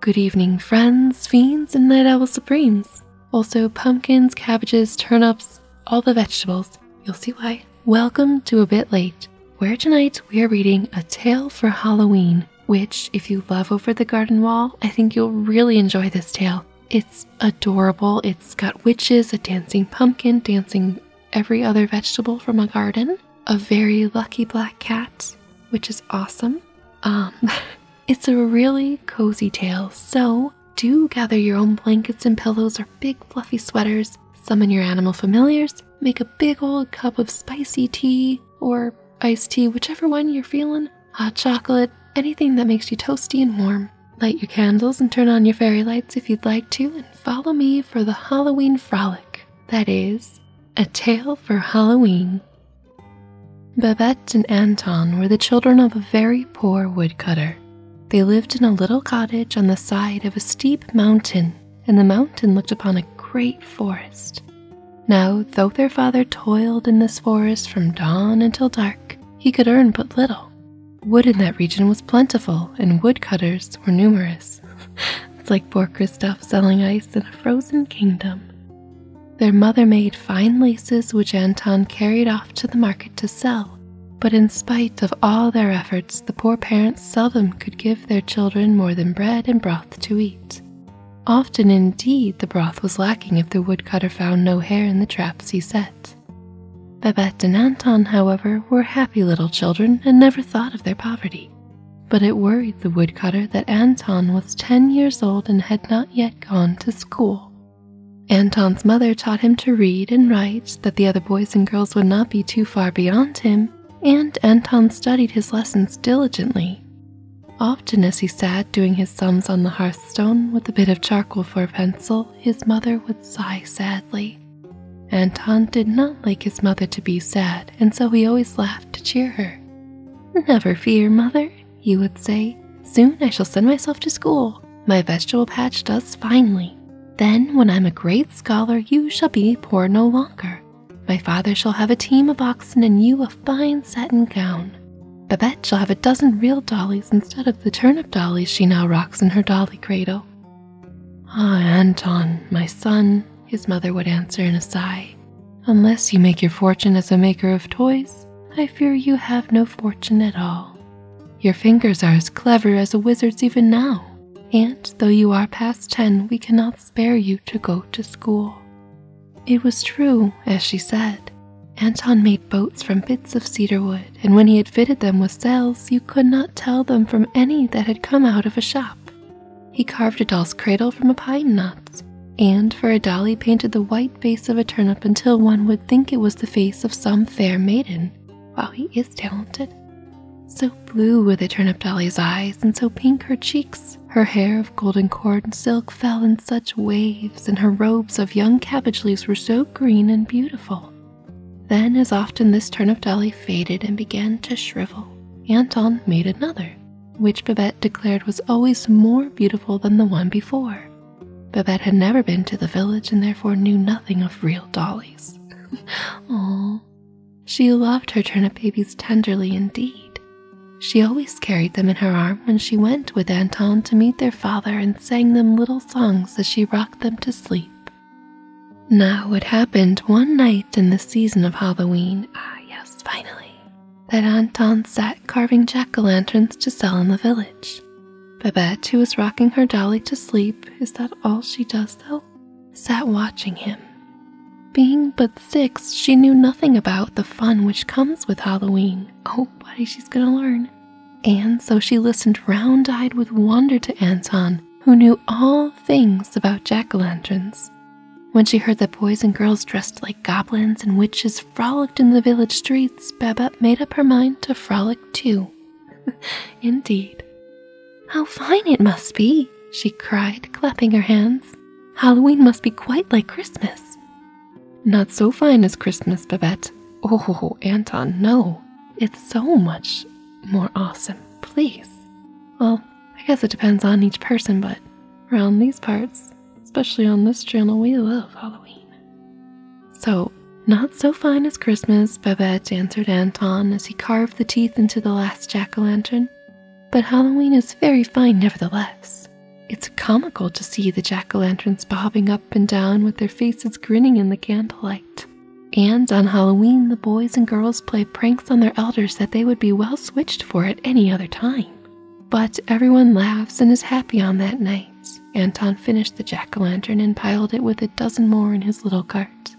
Good evening, friends, fiends, and night owl supremes. Also, pumpkins, cabbages, turnips, all the vegetables. You'll see why. Welcome to A Bit Late, where tonight we are reading A Tale for Halloween, which, if you love Over the Garden Wall, I think you'll really enjoy this tale. It's adorable. It's got witches, a dancing pumpkin, dancing every other vegetable from a garden, a very lucky black cat, which is awesome, um, it's a really cozy tale, so do gather your own blankets and pillows or big fluffy sweaters, summon your animal familiars, make a big old cup of spicy tea or iced tea, whichever one you're feeling, hot chocolate, anything that makes you toasty and warm. Light your candles and turn on your fairy lights if you'd like to, and follow me for the Halloween frolic. That is, a tale for Halloween. Babette and Anton were the children of a very poor woodcutter. They lived in a little cottage on the side of a steep mountain, and the mountain looked upon a great forest. Now, though their father toiled in this forest from dawn until dark, he could earn but little. Wood in that region was plentiful, and woodcutters were numerous it's like poor Kristoff selling ice in a frozen kingdom. Their mother made fine laces which Anton carried off to the market to sell, but in spite of all their efforts, the poor parents seldom could give their children more than bread and broth to eat. Often, indeed, the broth was lacking if the woodcutter found no hare in the traps he set. Babette and Anton, however, were happy little children and never thought of their poverty. But it worried the woodcutter that Anton was ten years old and had not yet gone to school. Anton's mother taught him to read and write, that the other boys and girls would not be too far beyond him, and Anton studied his lessons diligently. Often, as he sat doing his sums on the hearthstone with a bit of charcoal for a pencil, his mother would sigh sadly. Anton did not like his mother to be sad, and so we always laughed to cheer her. Never fear, mother, he would say. Soon I shall send myself to school. My vegetable patch does finely. Then, when I'm a great scholar, you shall be poor no longer. My father shall have a team of oxen and you a fine satin gown. Babette shall have a dozen real dollies instead of the turnip dollies she now rocks in her dolly cradle. Ah, Anton, my son, his mother would answer in a sigh. Unless you make your fortune as a maker of toys, I fear you have no fortune at all. Your fingers are as clever as a wizard's even now, and though you are past ten, we cannot spare you to go to school. It was true, as she said. Anton made boats from bits of cedar wood, and when he had fitted them with sails, you could not tell them from any that had come out of a shop. He carved a doll's cradle from a pine knot, and for a dolly painted the white face of a turnip until one would think it was the face of some fair maiden. Wow, he is talented. So blue were the turnip dolly's eyes, and so pink her cheeks. Her hair of golden cord and silk fell in such waves, and her robes of young cabbage leaves were so green and beautiful. Then, as often, this turnip dolly faded and began to shrivel. Anton made another, which Babette declared was always more beautiful than the one before. Babette had never been to the village and therefore knew nothing of real dollies. Oh, She loved her turnip babies tenderly indeed. She always carried them in her arm when she went with Anton to meet their father and sang them little songs as she rocked them to sleep. Now, it happened one night in the season of Halloween, ah, yes, finally, that Anton sat carving jack o' lanterns to sell in the village. Babette, who was rocking her dolly to sleep, is that all she does though? Sat watching him. Being but six, she knew nothing about the fun which comes with Halloween. Oh, buddy, she's gonna learn. And so she listened round eyed with wonder to Anton, who knew all things about jack o' lanterns. When she heard that boys and girls dressed like goblins and witches frolicked in the village streets, Babette made up her mind to frolic too. Indeed. How fine it must be! she cried, clapping her hands. Halloween must be quite like Christmas. Not so fine as Christmas, Babette. Oh, Anton, no. It's so much more awesome, please. Well, I guess it depends on each person, but around these parts, especially on this channel, we love Halloween. So, not so fine as Christmas, Babette answered Anton as he carved the teeth into the last jack o' lantern. But Halloween is very fine nevertheless. It's comical to see the jack o' lanterns bobbing up and down with their faces grinning in the candlelight. And on Halloween, the boys and girls play pranks on their elders that they would be well switched for at any other time. But everyone laughs and is happy on that night. Anton finished the jack o' lantern and piled it with a dozen more in his little cart.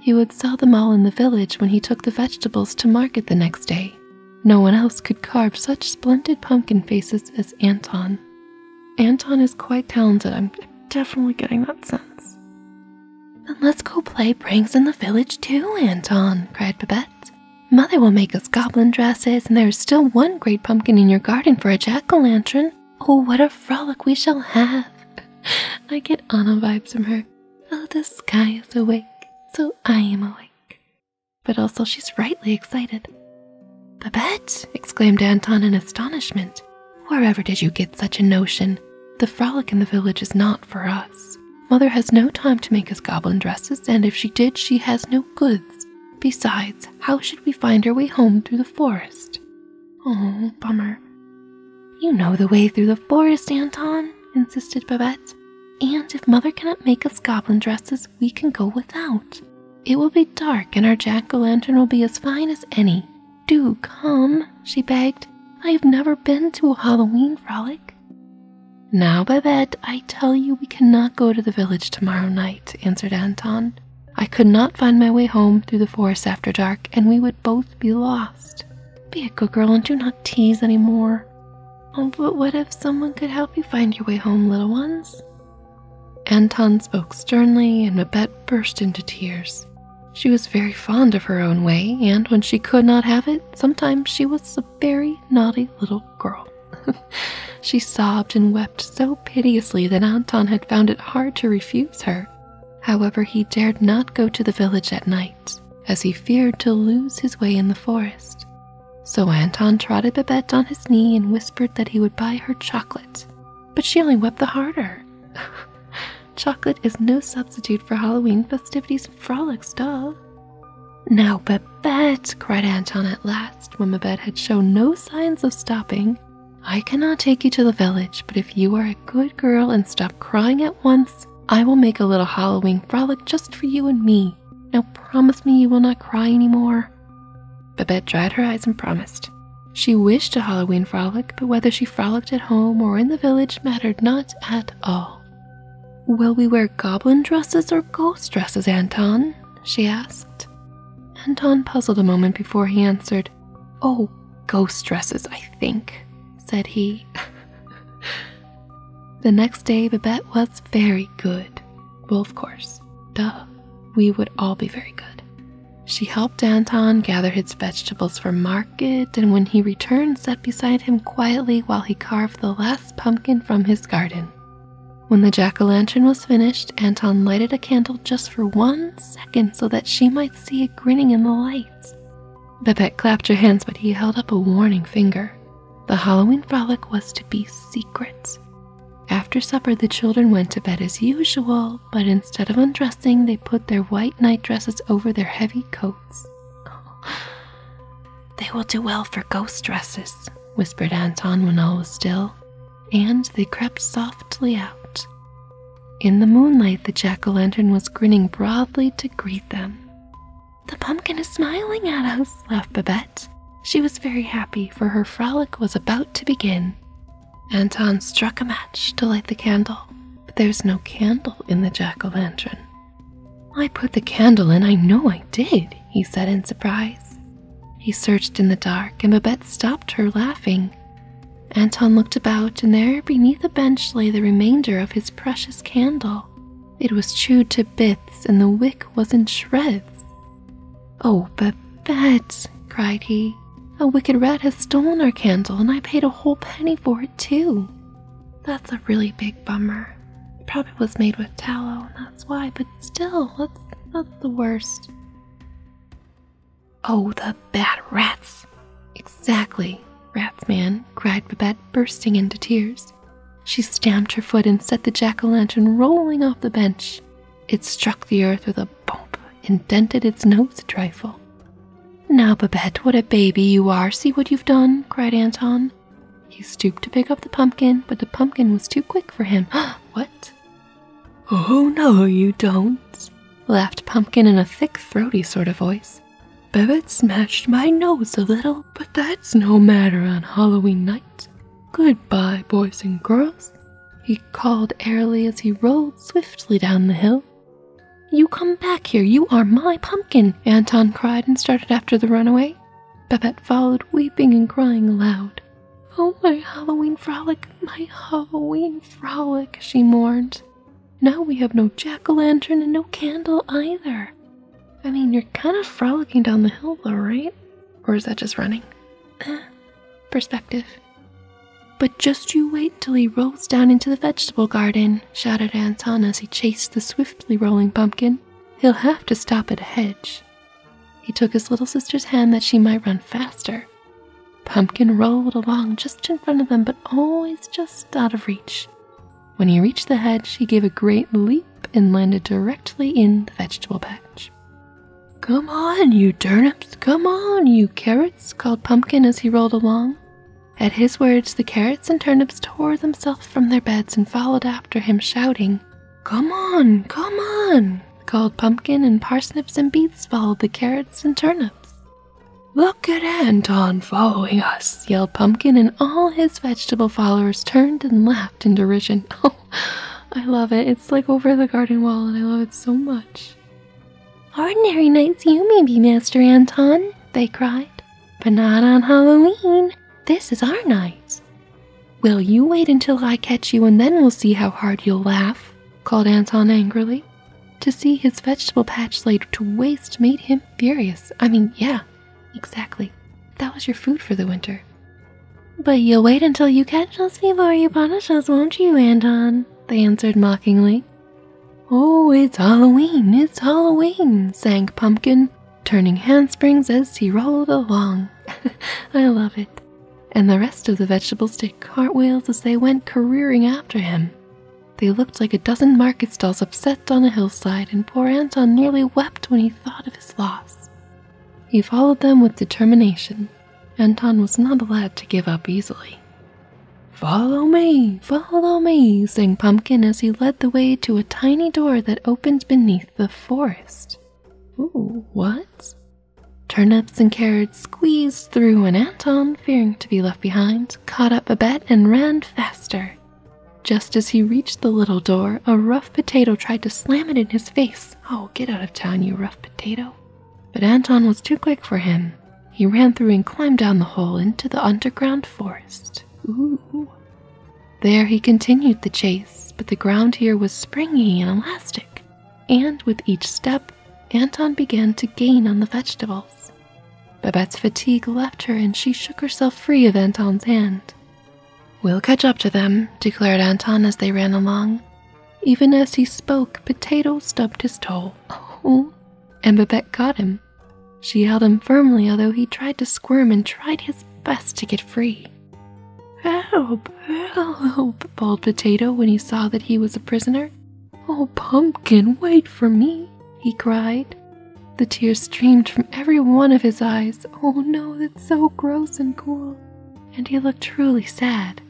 He would sell them all in the village when he took the vegetables to market the next day. No one else could carve such splendid pumpkin faces as Anton. Anton is quite talented, I'm definitely getting that sense. Then let's go play pranks in the village too, Anton, cried Babette. Mother will make us goblin dresses, and there is still one great pumpkin in your garden for a jack o' lantern. Oh, what a frolic we shall have! I get Anna vibes from her. Oh, the sky is awake, so I am awake. But also, she's rightly excited. Babette! exclaimed Anton in astonishment. Wherever did you get such a notion? The frolic in the village is not for us. Mother has no time to make us goblin dresses, and if she did, she has no goods. Besides, how should we find our way home through the forest? Oh, bummer. You know the way through the forest, Anton, insisted Babette. And if Mother cannot make us goblin dresses, we can go without. It will be dark, and our jack o' lantern will be as fine as any. Do come she begged. I have never been to a Halloween frolic. Now, Babette, I tell you we cannot go to the village tomorrow night, answered Anton. I could not find my way home through the forest after dark, and we would both be lost. Be a good girl and do not tease any more. Oh, but what if someone could help you find your way home, little ones? Anton spoke sternly, and Babette burst into tears. She was very fond of her own way, and when she could not have it, sometimes she was a very naughty little girl. she sobbed and wept so piteously that Anton had found it hard to refuse her. However, he dared not go to the village at night, as he feared to lose his way in the forest. So Anton trotted Babette on his knee and whispered that he would buy her chocolate, but she only wept the harder. Chocolate is no substitute for Halloween festivities and frolics, doll. Now, Babette, cried Anton at last, when Babette had shown no signs of stopping, I cannot take you to the village, but if you are a good girl and stop crying at once, I will make a little Halloween frolic just for you and me. Now, promise me you will not cry any more. Babette dried her eyes and promised. She wished a Halloween frolic, but whether she frolicked at home or in the village mattered not at Oh. Will we wear goblin dresses or ghost dresses, Anton? she asked. Anton puzzled a moment before he answered. Oh, ghost dresses, I think, said he. the next day, Babette was very good. Well, of course. Duh. We would all be very good. She helped Anton gather his vegetables from Mars and when he returned, sat beside him quietly while he carved the last pumpkin from his garden. When the jack o' lantern was finished, Anton lighted a candle just for one second so that she might see it grinning in the lights. Babette clapped her hands, but he held up a warning finger. The Halloween frolic was to be secret. After supper, the children went to bed as usual, but instead of undressing, they put their white night dresses over their heavy coats. They will do well for ghost dresses, whispered Anton when all was still, and they crept softly out. In the moonlight, the jack o' lantern was grinning broadly to greet them. The pumpkin is smiling at us, laughed Babette. She was very happy, for her frolic was about to begin. Anton struck a match to light the candle, but there's no candle in the jack o' lantern. I put the candle in, I know I did, he said in surprise. He searched in the dark, and Babette stopped her laughing. Anton looked about, and there beneath a bench lay the remainder of his precious candle. It was chewed to bits, and the wick was in shreds. Oh, Babette, cried he, a wicked rat has stolen our candle, and I paid a whole penny for it, too. That's a really big bummer. It probably was made with tallow, and that's why, but still, that's, that's the worst. Oh, the bad rats! Exactly, rats man, cried Babette, bursting into tears. She stamped her foot and set the jack o' lantern rolling off the bench. It struck the earth with a bump and dented its nose a trifle. Now, Babette, what a baby you are! See what you've done! cried Anton. He stooped to pick up the pumpkin, but the pumpkin was too quick for him. what? Oh, no, you don't! laughed Pumpkin in a thick, throaty sort of voice. Babette smashed my nose a little, but that's no matter on Halloween night. Goodbye, boys and girls. He called airily as he rolled swiftly down the hill. You come back here, you are my pumpkin, Anton cried and started after the runaway. Babette followed, weeping and crying aloud. Oh, my Halloween frolic, my Halloween frolic, she mourned. Now we have no jack o' lantern and no candle either. I mean, you're kind of frolicking down the hill, though, right? Or is that just running? Uh, perspective. But just you wait till he rolls down into the vegetable garden shouted Anton as he chased the swiftly rolling pumpkin. He'll have to stop at a hedge. He took his little sister's hand that she might run faster. Pumpkin rolled along just in front of them, but always just out of reach. When he reached the hedge, he gave a great leap and landed directly in the vegetable patch. Come on, you turnips! Come on, you carrots! called Pumpkin as he rolled along. At his words, the carrots and turnips tore themselves from their beds and followed after him, shouting, Come on, come on! Called Pumpkin, and parsnips and beets followed the carrots and turnips. Look at Anton following us, yelled Pumpkin, and all his vegetable followers turned and laughed in derision. Oh, I love it. It's like over the garden wall, and I love it so much. Ordinary nights you may be, Master Anton, they cried, but not on Halloween. This is our night. Will you wait until I catch you, and then we'll see how hard you'll laugh, called Anton angrily. To see his vegetable patch laid to waste made him furious. I mean, yeah, exactly. That was your food for the winter. But you'll wait until you catch us before you punish us, won't you, Anton? They answered mockingly. Oh, it's Halloween, it's Halloween, sang Pumpkin, turning handsprings as he rolled along. I love it. And the rest of the vegetables did cartwheels as they went careering after him. They looked like a dozen market stalls upset on a hillside, and poor Anton nearly wept when he thought of his loss. He followed them with determination. Anton was not allowed to give up easily. Follow me, follow me, sang Pumpkin as he led the way to a tiny door that opened beneath the forest. Ooh, what? Turnips and carrots squeezed through, and Anton, fearing to be left behind, caught up a Babette and ran faster. Just as he reached the little door, a rough potato tried to slam it in his face. Oh, get out of town, you rough potato. But Anton was too quick for him. He ran through and climbed down the hole into the underground forest. Ooh. There he continued the chase, but the ground here was springy and elastic, and with each step, Anton began to gain on the vegetables. Babette's fatigue left her and she shook herself free of Anton's hand. We'll catch up to them, declared Anton as they ran along. Even as he spoke, Potato stubbed his toe. ooh, and Babette caught him. She held him firmly, although he tried to squirm and tried his best to get free. Help, help, bawled Potato when he saw that he was a prisoner. Oh, Pumpkin, wait for me, he cried. The tears streamed from every one of his eyes. Oh no, that's so gross and cruel. And he looked truly sad.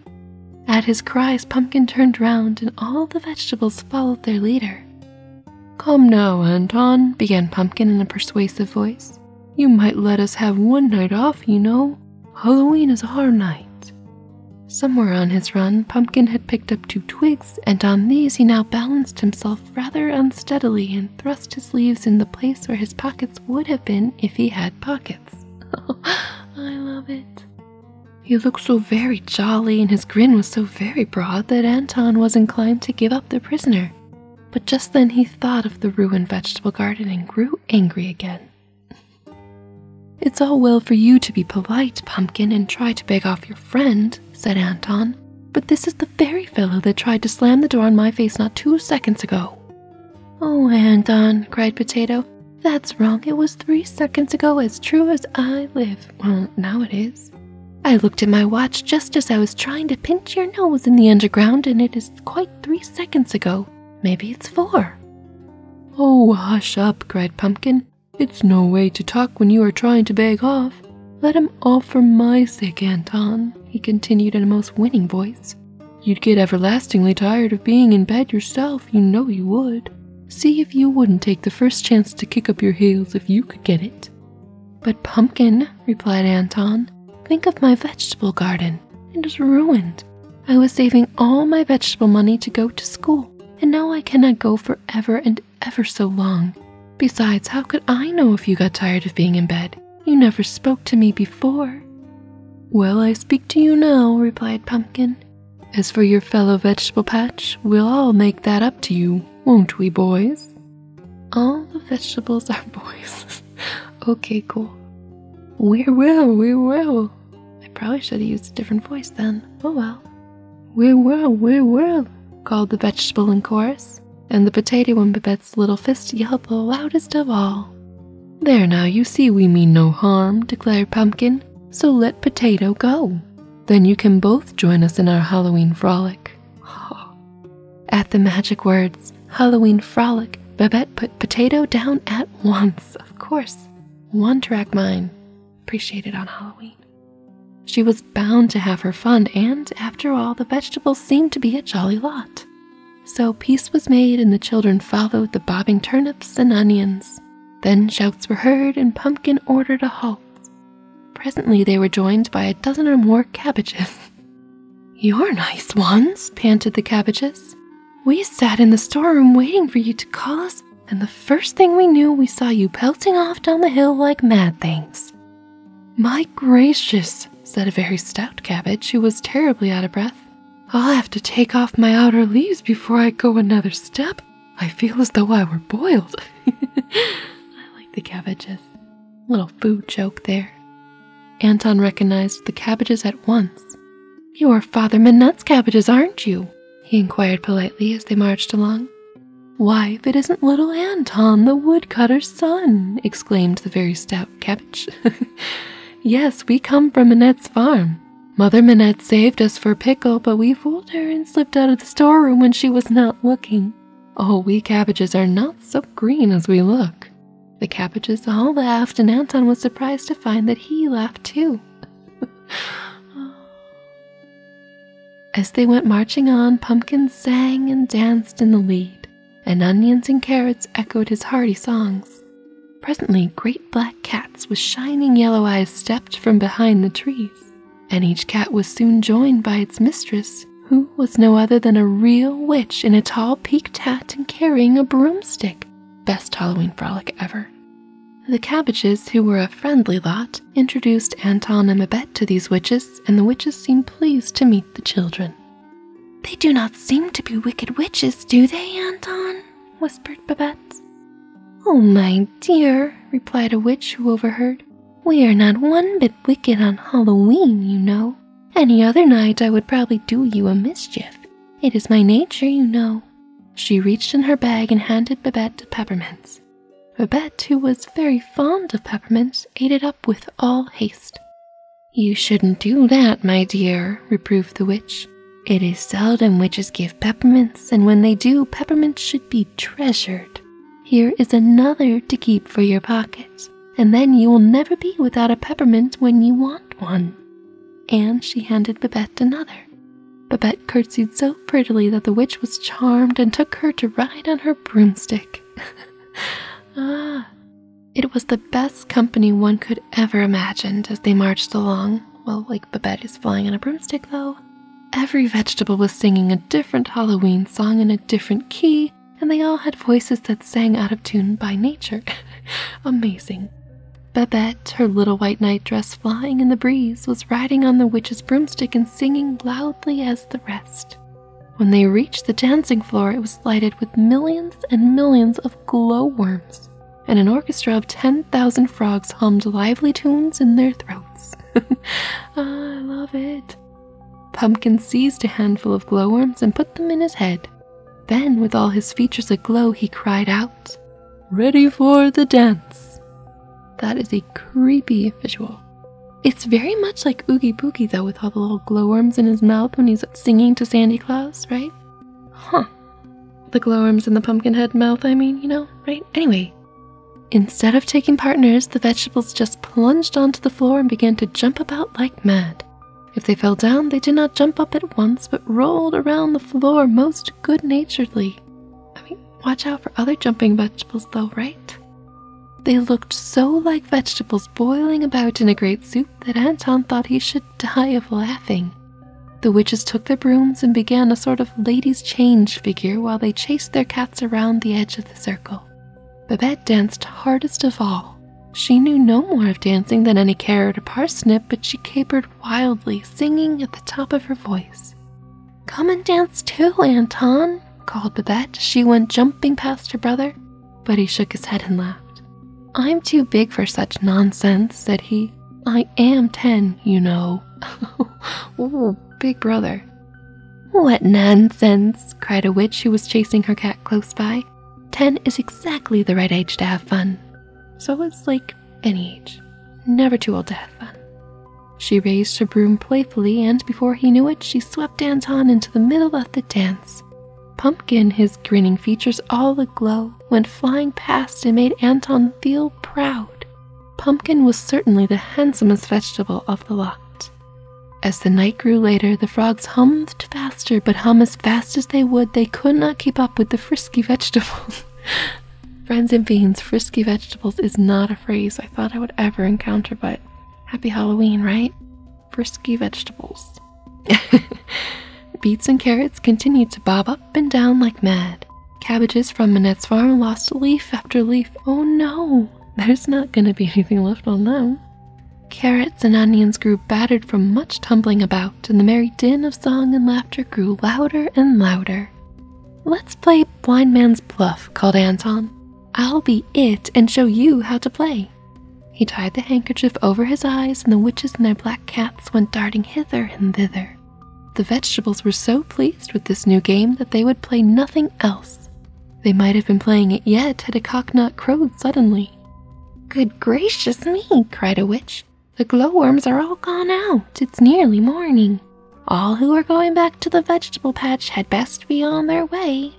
At his cries, Pumpkin turned round, and all the vegetables followed their leader. Come now, Anton, began Pumpkin in a persuasive voice. You might let us have one night off, you know. Halloween is our night. Somewhere on his run, Pumpkin had picked up two twigs, and on these he now balanced himself rather unsteadily and thrust his leaves in the place where his pockets would have been if he had pockets. I love it. He looked so very jolly and his grin was so very broad that Anton was inclined to give up the prisoner. But just then he thought of the ruined vegetable garden and grew angry again. It's all well for you to be polite, Pumpkin, and try to beg off your friend, said Anton, but this is the very fellow that tried to slam the door on my face not two seconds ago. Oh, Anton, cried Potato, that's wrong. It was three seconds ago, as true as I live. Well, now it is. I looked at my watch just as I was trying to pinch your nose in the underground, and it is quite three seconds ago. Maybe it's four. Oh, hush up, cried Pumpkin. It's no way to talk when you are trying to beg off. Let him off for my sake, Anton, he continued in a most winning voice. You'd get everlastingly tired of being in bed yourself yourself, you know you would. See if you wouldn't take the first chance to kick up your heels if you could get it. But, Pumpkin, replied Anton, think of my vegetable garden. It is ruined. I was saving all my vegetable money to go to school, and now I cannot go for ever and ever so long. Besides, how could I know if you got tired of being in bed? You never spoke to me before. Well, I speak to you now, replied Pumpkin. As for your fellow vegetable patch, we'll all make that up to you, won't we, boys? All the vegetables are boys. okay, cool. We will, we will. I probably should have used a different voice then. Oh well. We will, we will, called the vegetable in chorus, and the potato in Babette's little fist yelled the loudest of all. There now, you see we mean no harm, declared Pumpkin, so let Potato go. Then you can both join us in our Halloween frolic. At the magic words, Halloween frolic, Babette put potato down at once, of course. One track mine. appreciated on Halloween. She was bound to have her fun, and after all, the vegetables seemed to be a jolly lot. So peace was made, and the children followed the bobbing turnips and onions. Then shouts were heard, and Pumpkin ordered a halt. Presently they were joined by a dozen or more cabbages. You're nice ones, panted the cabbages. We sat in the storeroom waiting for you to call us, and the first thing we knew, we saw you pelting off down the hill like mad things. My gracious, said a very stout cabbage who was terribly out of breath. I'll have to take off my outer leaves before I go another step. I feel as though I were boiled. I like the cabbages. Little food joke there. Anton recognized the cabbages at once. You are Father Manette's cabbages, aren't you? he inquired politely as they marched along. Why, if it isn't little Anton, the woodcutter's son! exclaimed the very stout cabbage. yes, we come from Manette's farm. Mother Minette saved us for pickle, but we fooled her and slipped out of the storeroom when she was not looking. Oh, we cabbages are not so green as we look. The cabbages all laughed, and Anton was surprised to find that he laughed too. As they went marching on, pumpkins sang and danced in the lead, and onions and carrots echoed his hearty songs. Presently, great black cats with shining yellow eyes stepped from behind the trees, and each cat was soon joined by its mistress, who was no other than a real witch in a tall peaked hat and carrying a broomstick. Best Halloween frolic ever. The Cabbages, who were a friendly lot, introduced Anton and Babette to these witches, and the witches seemed pleased to meet the children. They do not seem to be wicked witches, do they, Anton? whispered Babette. Oh, my dear, replied a witch who overheard, we are not one bit wicked on Halloween, you know. Any other night I would probably do you a mischief. It is my nature, you know. She reached in her bag and handed Babette the peppermints. Babette, who was very fond of peppermints, ate it up with all haste. You shouldn't do that, my dear, reproved the witch. It is seldom witches give peppermints, and when they do, peppermints should be treasured. Here is another to keep for your pockets, and then you will never be without a peppermint when you want one. And she handed Babette another. Babette curtsied so prettily that the witch was charmed and took her to ride on her broomstick. ah! It was the best company one could ever imagine as they marched along. Well, like Babette is flying on a broomstick, though. Every vegetable was singing a different Halloween song in a different key, and they all had voices that sang out of tune by nature. Amazing. Babette, her little white nightdress flying in the breeze, was riding on the witch's broomstick and singing loudly as the rest. When they reached the dancing floor, it was lighted with millions and millions of glowworms and an orchestra of 10,000 frogs hummed lively tunes in their throats. I love it. Pumpkin seized a handful of glowworms and put them in his head. Then, with all his features aglow, he cried out, Ready for the dance! That is a creepy visual. It's very much like Oogie Boogie, though, with all the little glowworms in his mouth when he's singing to Sandy Claus, right? Huh. The glowworms and the pumpkinhead mouth, I mean, you know, right? Anyway, instead of taking partners, the vegetables just plunged onto the floor and began to jump about like mad. If they fell down, they did not jump up at once, but rolled around the floor most good naturedly. I mean, watch out for other jumping vegetables, though, right? They looked so like vegetables boiling about in a great soup that Anton thought he should die of laughing. The witches took their brooms and began a sort of ladies' change figure while they chased their cats around the edge of the circle. Babette danced hardest of all. She knew no more of dancing than any carrot or parsnip, but she capered wildly, singing at the top of her voice. Come and dance too, Anton, called Babette. She went jumping past her brother, but he shook his head and laughed. I'm too big for such nonsense, said he. I am ten, you know. Oh, big brother. What nonsense, cried a witch who was chasing her cat close by. Ten is exactly the right age to have fun. So it's like any age, never too old to have fun. She raised her broom playfully, and before he knew it, she swept Anton into the middle of the dance. Pumpkin, his grinning features all aglow, eagle went flying past and made Anton feel proud. Pumpkin was certainly the handsomest vegetable of the lot. As the night grew later, the frogs hummed faster, but hum as fast as they would, they could not keep up with the frisky vegetables. Friends and beans, frisky vegetables is not a phrase I thought I would ever encounter, but happy Halloween, right? Frisky vegetables. Beets and carrots continued to bob up and down like mad. Cabbages from Minette's farm lost leaf after leaf. Oh no, there's not going to be anything left on them. Carrots and onions grew battered from much tumbling about, and the merry din of song and laughter grew louder and louder. Let's play Blind Man's Bluff, called Anton. I'll be it and show you how to play. He tied the handkerchief over his eyes, and the witches and their black cats went darting hither and thither. The vegetables were so pleased with this new game that they would play nothing else. They might have been playing it yet had a cocknut crowed suddenly. Good gracious me, cried a witch. The glowworms are all gone out. It's nearly morning. All who are going back to the vegetable patch had best be on their way.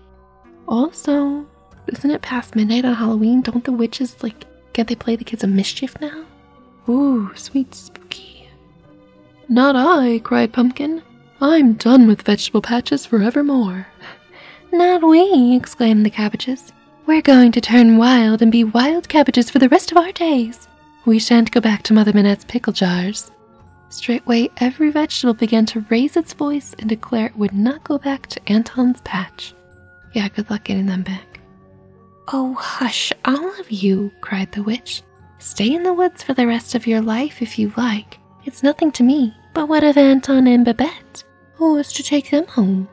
Also, isn't it past midnight on Halloween? Don't the witches, like, can't they play the kids a mischief now? Ooh, sweet spooky. Not I, cried Pumpkin. I'm done with vegetable patches forevermore. Not we, exclaimed the cabbages. We're going to turn wild and be wild cabbages for the rest of our days. We shan't go back to Mother Minette's pickle jars. Straightway, every vegetable began to raise its voice and declare it would not go back to Anton's patch. Yeah, good luck getting them back. Oh, hush, all of you, cried the witch. Stay in the woods for the rest of your life if you like. It's nothing to me. But what of Anton and Babette? Who is to take them home?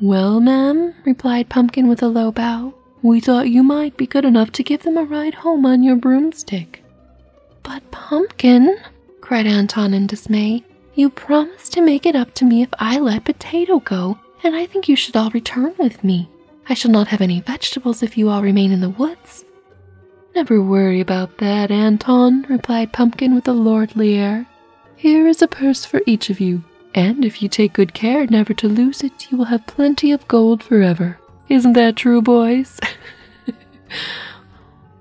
Well, ma'am, replied Pumpkin with a low bow, we thought you might be good enough to give them a ride home on your broomstick. But, Pumpkin, cried Anton in dismay, you promised to make it up to me if I let Potato go, and I think you should all return with me. I shall not have any vegetables if you all remain in the woods. Never worry about that, Anton, replied Pumpkin with a lordly air. Here is a purse for each of you, and if you take good care never to lose it, you will have plenty of gold forever. Isn't that true, boys?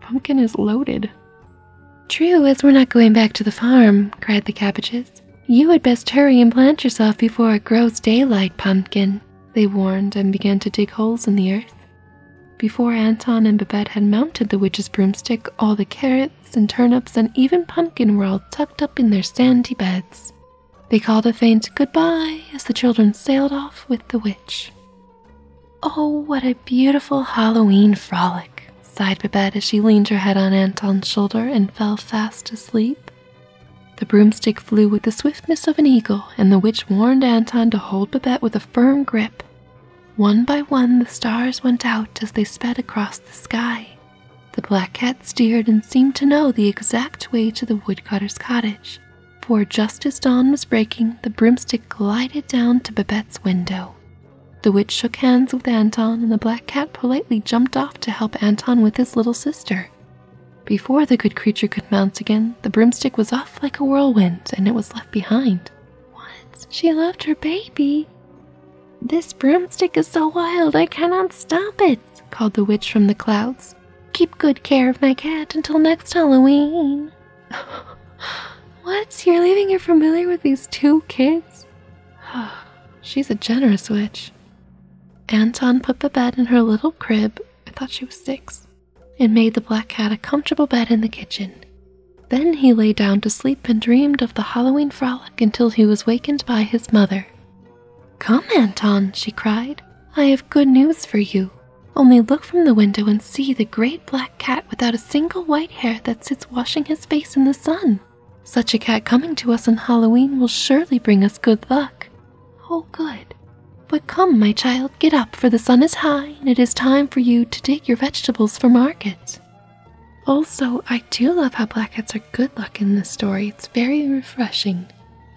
Pumpkin is loaded. True, as we're not going back to the farm, cried the cabbages. You had best hurry and plant yourself before it grows daylight, pumpkin, they warned and began to dig holes in the earth. Before Anton and Babette had mounted the witch's broomstick, all the carrots and turnips and even pumpkin were all tucked up in their sandy beds. They called a faint goodbye as the children sailed off with the witch. Oh, what a beautiful Halloween frolic! sighed Babette as she leaned her head on Anton's shoulder and fell fast asleep. The broomstick flew with the swiftness of an eagle, and the witch warned Anton to hold Babette with a firm grip. One by one, the stars went out as they sped across the sky. The black cat steered and seemed to know the exact way to the woodcutter's cottage, for just as dawn was breaking, the broomstick glided down to Babette's window. The witch shook hands with Anton, and the black cat politely jumped off to help Anton with his little sister. Before the good creature could mount again, the broomstick was off like a whirlwind, and it was left behind. What? She left her baby? This broomstick is so wild, I cannot stop it, called the witch from the clouds. Keep good care of my cat until next Halloween. what? You're leaving your familiar with these two kids? She's a generous witch. Anton put the bed in her little crib, I thought she was six, and made the black cat a comfortable bed in the kitchen. Then he lay down to sleep and dreamed of the Halloween frolic until he was wakened by his mother. Come, Anton, she cried. I have good news for you. Only look from the window and see the great black cat without a single white hair that sits washing his face in the sun. Such a cat coming to us on Halloween will surely bring us good luck. Oh, good. But come, my child, get up, for the sun is high, and it is time for you to take your vegetables for market. Also, I do love how black cats are good luck in this story. It's very refreshing.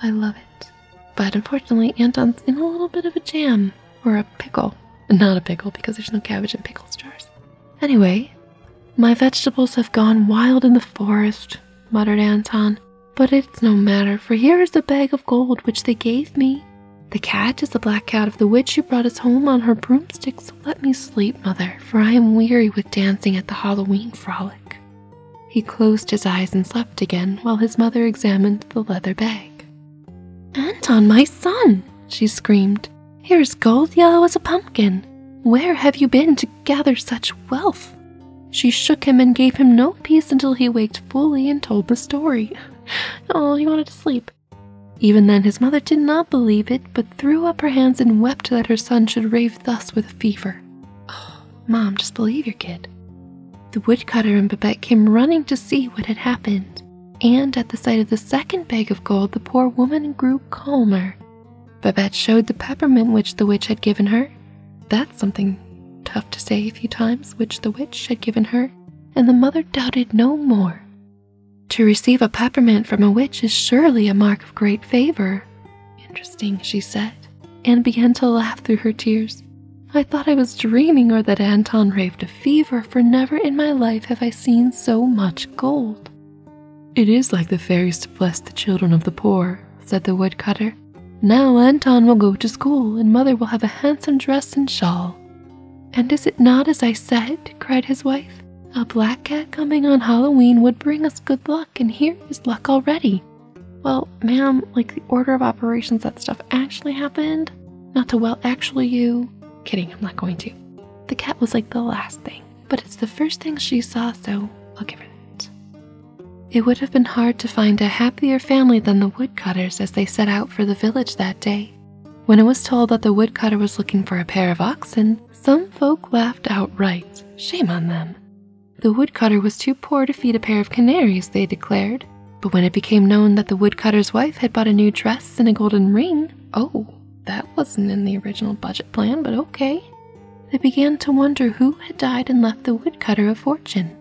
I love it. But unfortunately, Anton's in a little bit of a jam or a pickle. Not a pickle because there's no cabbage in pickle jars. Anyway, my vegetables have gone wild in the forest, muttered Anton, but it's no matter, for here is the bag of gold which they gave me. The cat is the black cat of the witch who brought us home on her broomstick, so let me sleep, mother, for I am weary with dancing at the Halloween frolic. He closed his eyes and slept again while his mother examined the leather bag. Anton, my son! she screamed, Here's gold yellow as a pumpkin. Where have you been to gather such wealth? She shook him and gave him no peace until he waked fully and told the story. oh, he wanted to sleep. Even then, his mother did not believe it, but threw up her hands and wept that her son should rave thus with a fever. Oh, Mom, just believe your kid. The woodcutter and Babette came running to see what had happened, and at the sight of the second bag of gold, the poor woman grew calmer Babette showed the peppermint which the witch had given her. That's something tough to say a few times, which the witch had given her, and the mother doubted no more. To receive a peppermint from a witch is surely a mark of great favor. Interesting, she said, and began to laugh through her tears. I thought I was dreaming or that Anton raved a fever, for never in my life have I seen so much gold. It is like the fairies to bless the children of the poor, said the woodcutter. Now Anton will go to school, and mother will have a handsome dress and shawl. And is it not as I said? cried his wife. A black cat coming on Halloween would bring us good luck, and here is luck already. Well, ma'am, like the order of operations that stuff actually happened? Not to well actually you. Kidding, I'm not going to. The cat was like the last thing but it's the first thing she saw, so I'll give her It would have been hard to find a happier family than the woodcutters as they set out for the village that day. When it was told that the woodcutter was looking for a pair of oxen, some folk laughed outright. Shame on them. The woodcutter was too poor to feed a pair of canaries, they declared. But when it became known that the woodcutter's wife had bought a new dress and a golden ring, oh, that wasn't in the original budget plan, but okay. They began to wonder who had died and left the woodcutter a fortune.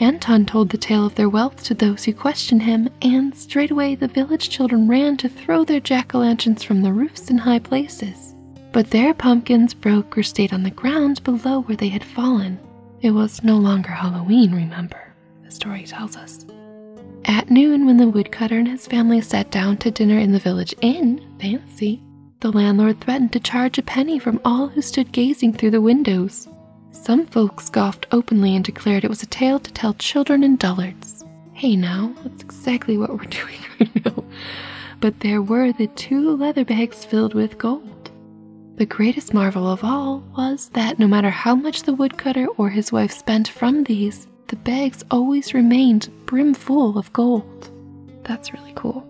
Anton told the tale of their wealth to those who questioned him, and straightway the village children ran to throw their jack o' lanterns from the roofs in high places. But their pumpkins broke or stayed on the ground below where they had fallen. It was no longer Halloween, remember, the story tells us. At noon, when the woodcutter and his family sat down to dinner in the village inn, fancy, the landlord threatened to charge a penny from all who stood gazing through the windows. Some folks scoffed openly and declared it was a tale to tell children and dullards. Hey now, that's exactly what we're doing right now. But there were the two leather bags filled with gold. The greatest marvel of all was that no matter how much the woodcutter or his wife spent from these, the bags always remained brimful of gold. That's really cool.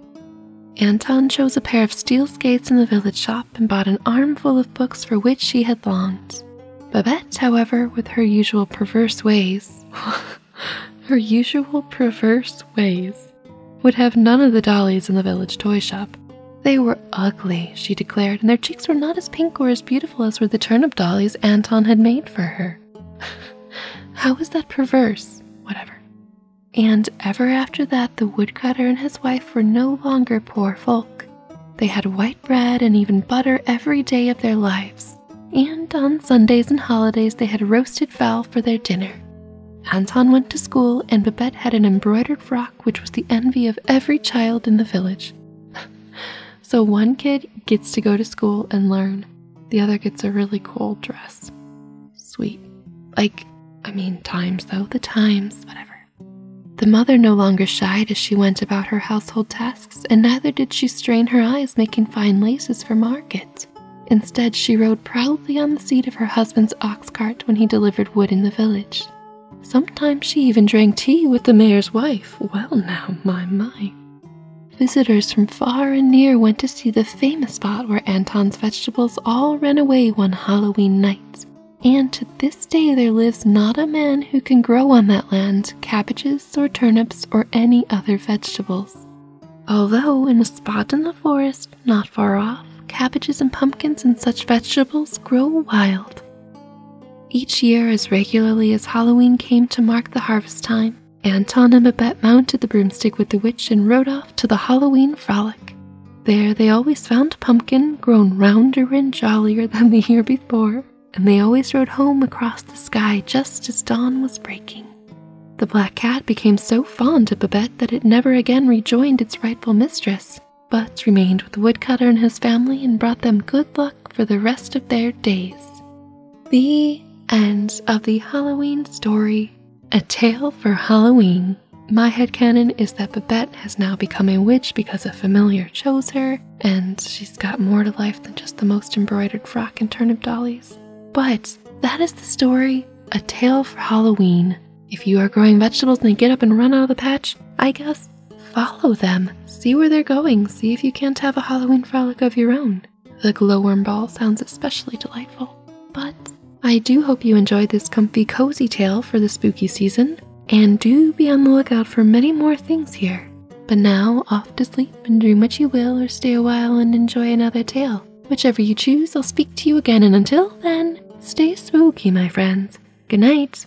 Anton chose a pair of steel skates in the village shop and bought an armful of books for which she had longed. Babette, however, with her usual perverse ways, her usual perverse ways, would have none of the dollies in the village toy shop. They were ugly, she declared, and their cheeks were not as pink or as beautiful as were the turnip dollies Anton had made for her. How was that perverse? Whatever. And ever after that, the woodcutter and his wife were no longer poor folk. They had white bread and even butter every day of their lives. And on Sundays and holidays, they had roasted fowl for their dinner. Anton went to school, and Babette had an embroidered frock which was the envy of every child in the village. So one kid gets to go to school and learn, the other gets a really cool dress. Sweet. Like, I mean, times though, the times, whatever. The mother no longer shied as she went about her household tasks, and neither did she strain her eyes making fine laces for market. Instead, she rode proudly on the seat of her husband's ox cart when he delivered wood in the village. Sometimes she even drank tea with the mayor's wife. Well, now, my, my. Visitors from far and near went to see the famous spot where Anton's vegetables all ran away one Halloween night. And to this day, there lives not a man who can grow on that land cabbages or turnips or any other vegetables. Although, in a spot in the forest not far off, cabbages and pumpkins and such vegetables grow wild. Each year, as regularly as Halloween came to mark the harvest time, Anton and Babette mounted the broomstick with the witch and rode off to the Halloween frolic. There, they always found Pumpkin grown rounder and jollier than the year before, and they always rode home across the sky just as dawn was breaking. The black cat became so fond of Babette that it never again rejoined its rightful mistress, but remained with the woodcutter and his family and brought them good luck for the rest of their days. The end of the Halloween story. A tale for Halloween. My headcanon is that Babette has now become a witch because a familiar chose her, and she's got more to life than just the most embroidered frock and turnip dollies. But that is the story A Tale for Halloween. If you are growing vegetables and they get up and run out of the patch, I guess Follow them. See where they're going. See if you can't have a Halloween frolic of your own. The glowworm ball sounds especially delightful. But I do hope you enjoyed this comfy, cozy tale for the spooky season, and do be on the lookout for many more things here. But now, off to sleep and dream what you will, or stay a while and enjoy another tale. Whichever you choose, I'll speak to you again, and until then, stay spooky, my friends. Good night.